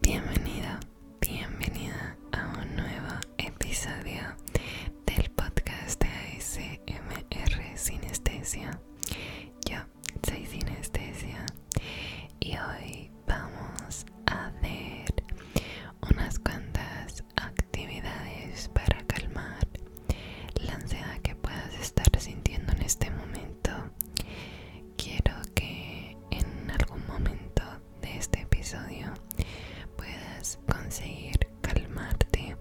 Bienvenido, bienvenida a un nuevo episodio del podcast de ASMR Sinestesia. Yo soy Sinestesia y hoy vamos a hacer unas cuantas actividades para calmar la ansiedad que puedas estar sintiendo en este momento quiero que en algún momento de este episodio puedas conseguir calmarte,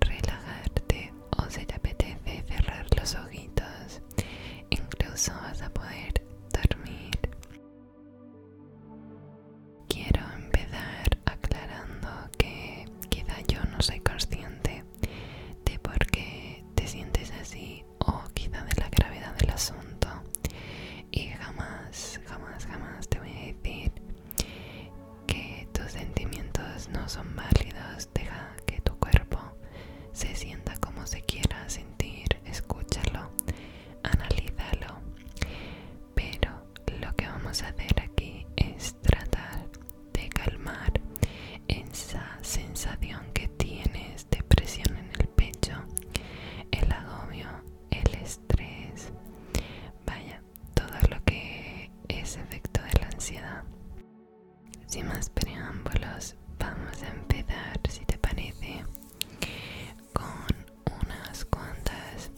relajarte o si te apetece cerrar los ojitos, incluso vas a poder dormir. Quiero empezar aclarando que quizá yo no soy consciente de por qué te sientes así o quizá de la gravedad del asunto y jamás, jamás, jamás te voy a decir que tus sentimientos no son válidos, deja que tu cuerpo se sienta como se quiera sentir, escúchalo, analízalo, pero lo que vamos a hacer aquí es tratar de calmar esa sensación que tienes depresión en el pecho, el agobio, el estrés, vaya, todo lo que es efecto de la ansiedad. Sin más preámbulos, vamos a empezar, si te parece, con unas cuantas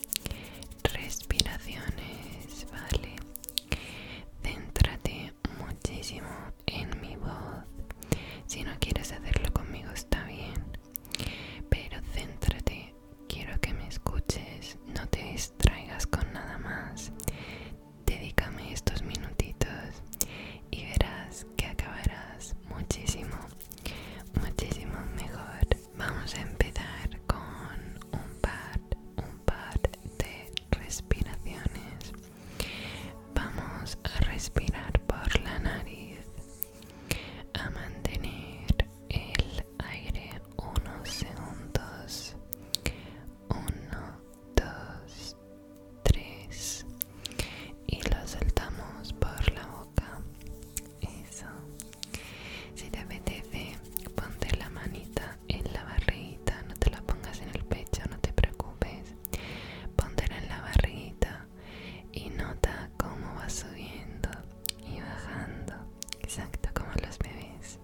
respiraciones, ¿vale? Céntrate muchísimo en mi voz. Si no quieres hacerlo conmigo está bien, pero céntrate, quiero que me escuches, no te distraigas con nada más. Dedícame estos minutitos y verás que acabarás muchísimo, muchísimo mejor. Vamos a empezar con un par, un par de respiraciones Vamos a respirar por la nariz, a mantener el aire unos segundos. Uno, dos, tres. Y lo saltamos por la boca. Eso. Si te apetece, ponte la manita en la barriguita, no te la pongas en el pecho, no te preocupes. Póntela en la barriguita y nota cómo va subiendo y bajando, exacto como los bebés.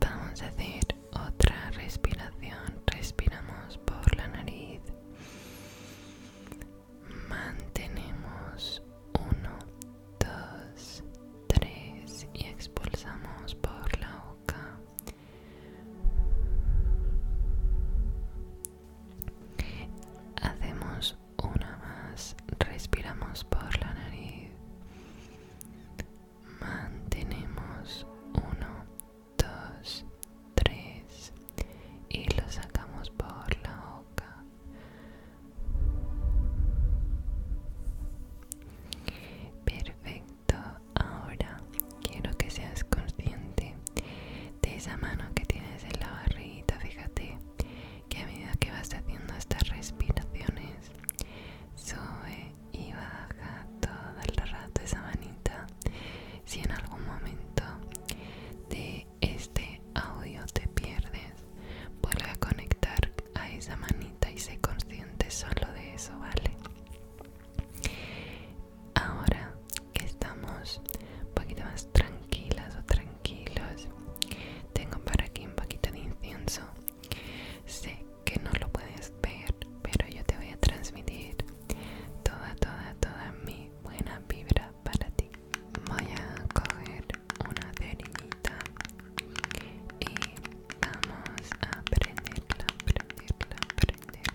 Vamos a hacer otra respiración. Respiramos por la nariz. Mantenemos Uno, dos Tres y expulsamos por la boca. Hacemos una más, respiramos por la nariz. Mantenemos uno, dos, tres y lo sacamos por la boca. Perfecto ahora quiero que seas consciente de esa mano que tienes en la barriguita. Fíjate que a medida que vas haciendo estas respiraciones, sube y baja todo el rato esa manita. Si en algún momento de este audio te pierdes, vuelve a conectar a esa manita y sé consciente solo de eso, ¿vale? Ahora que estamos un poquito más tranquilas o tranquilos, tengo para aquí un poquito de incienso. Sé que no lo puedes ver, pero yo te voy a transmitir toda, toda, toda mi buena vibra para ti. Voy a coger una cerillita y vamos a aprender prenderla, aprender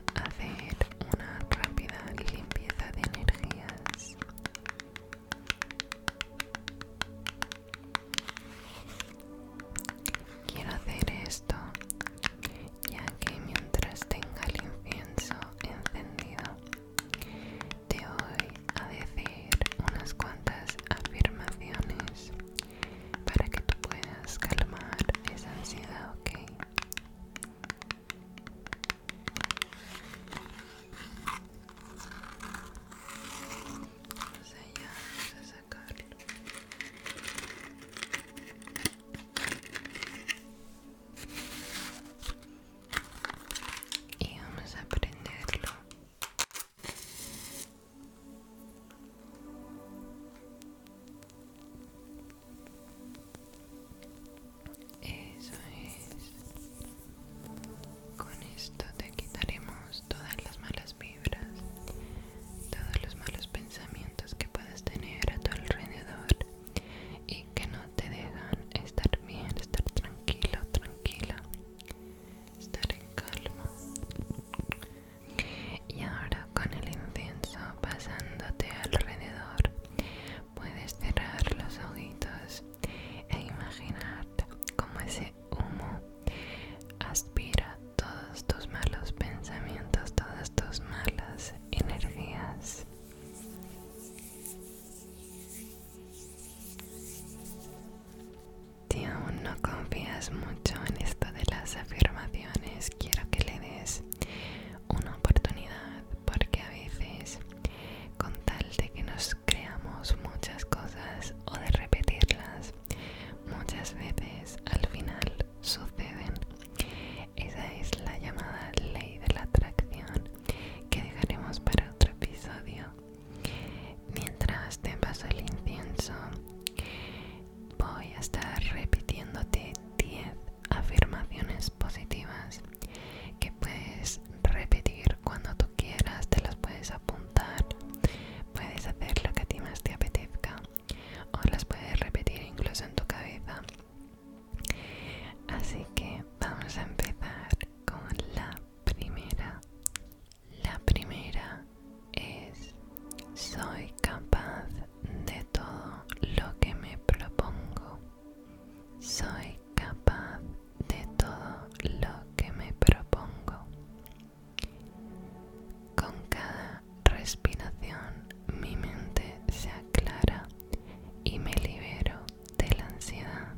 para hacer una rápida limpieza de energías. Quiero hacer esto ya que mientras tenga el incienso encendido te voy a decir unas cuantas afirmaciones para que tú puedas calmar esa ansiedad, ¿ok? Vamos allá, a sacarlo. Y vamos a aprenderlo eso es. Con esto te quitaremos todas las malas vibras, todos los malos pensamientos que puedas tener a tu alrededor y que no te dejan estar bien, estar tranquilo, tranquila estar en calma y ahora con el incienso pasándote alrededor puedes cerrar los ojitos e imaginarte cómo ese humo aspira todos tus malos pensamientos todas tus malas energías si aún no confías mucho en esto de las afirmaciones, quiero que le des una oportunidad porque a veces con tal de que nos creamos muchas cosas o de repetirlas, muchas veces al final suceden. Esa es la llamada ley de la atracción que dejaremos para otro episodio. Mientras te paso el incienso, voy a estar repitiéndote 10 afirmaciones positivas que puedes repetir cuando tú quieras, te las puedes apuntar, puedes hacer lo que a ti más te apetezca o las puedes repetir incluso en tu cabeza. Así que vamos a empezar con la primera. La primera es soy capaz de todo lo que me propongo. Soy capaz de todo lo que me propongo. Con cada respiración mi mente se aclara y me libero de la ansiedad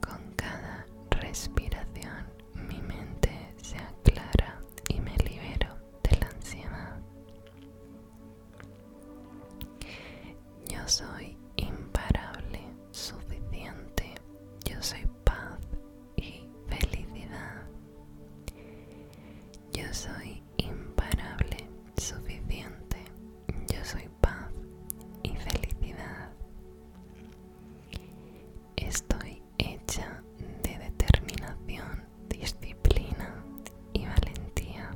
con cada respiración mi mente se aclara y me libero de la ansiedad. Yo soy imparable, suficiente, yo soy paz y felicidad. Yo soy imparable, suficiente. Yo soy paz y felicidad. Estoy hecha de determinación, disciplina y valentía.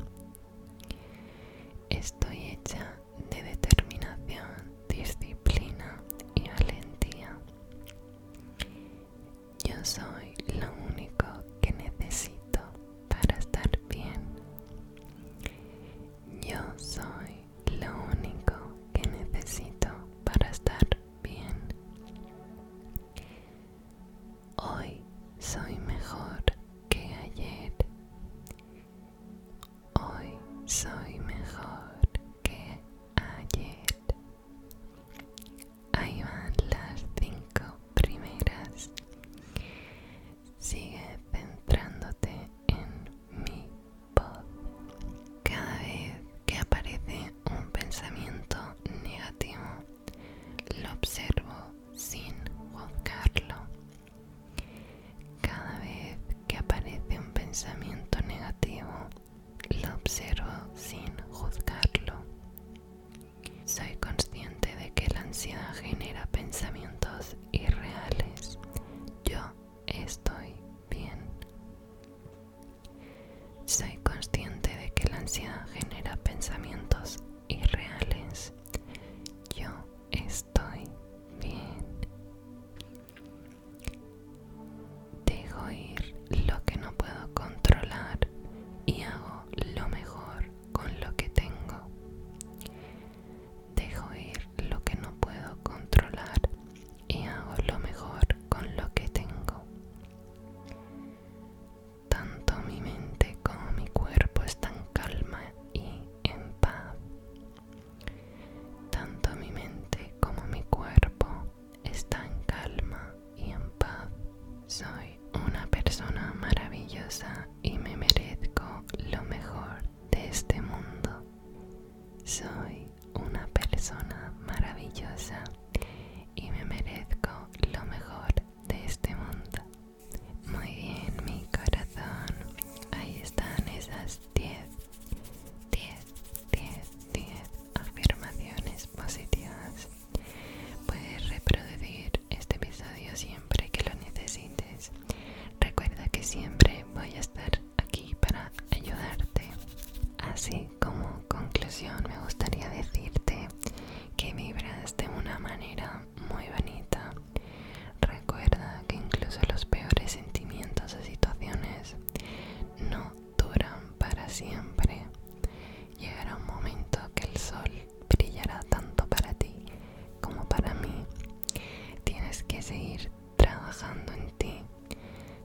Estoy hecha de determinación, disciplina y valentía. Yo soy lo único que necesito para estar bien. Yo soy lo único que necesito para estar bien. Hoy soy mejor que ayer. Hoy soy mejor que ayer. Ahí van las cinco primeras. Sigue centrándote en mi voz. Cada vez que aparece un pensamiento negativo, lo observo sin juzgarlo. Cada vez que aparece un pensamiento negativo, lo observo sin juzgarlo. Soy consciente de que la ansiedad genera pensamientos irreales. Yo estoy bien. Soy consciente de que la ansiedad genera pensamientos irreales. Yo estoy bien. Dejo ir lo que no puedo controlar y hago lo mejor con lo que tengo. Dejo ir lo que no puedo controlar y hago lo mejor con lo que tengo. Tanto mi mente como mi cuerpo están calma y en paz. Tanto mi mente como mi cuerpo están calma y en paz. Soy una persona maravillosa y me merezco lo mejor de este mundo. Soy una persona maravillosa y me merezco lo mejor de este mundo. Muy bien, mi corazón. Ahí están esas 10, 10, 10, 10 afirmaciones positivas Puedes reproducir este episodio siempre que lo necesites. Recuerda que siempre voy a estar aquí para ayudarte. Así como conclusión me gustaría decirte que vibras de una manera muy bonita. Recuerda que incluso los peores sentimientos o situaciones no duran para siempre. Llegará un momento que el sol brillará tanto para ti como para mí. Tienes que seguir trabajando en ti.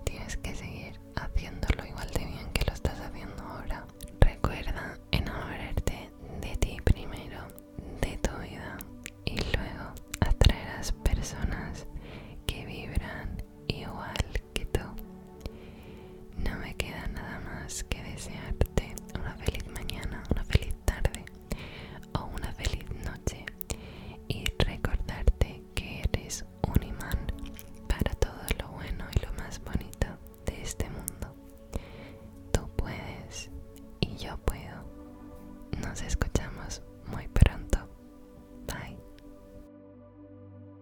Tienes que seguir haciéndolo igual de bien que lo estás haciendo ahora. Recuerda enamorarte de ti primero, de tu vida, y luego atraerás personas que vibran igual que tú No me queda nada más que desearte una feliz mañana, una feliz tarde o una feliz noche y recordarte que eres un imán para todo lo bueno y lo más bonito de este mundo. Tú puedes y yo puedo. Nos escuchamos muy pronto. Bye.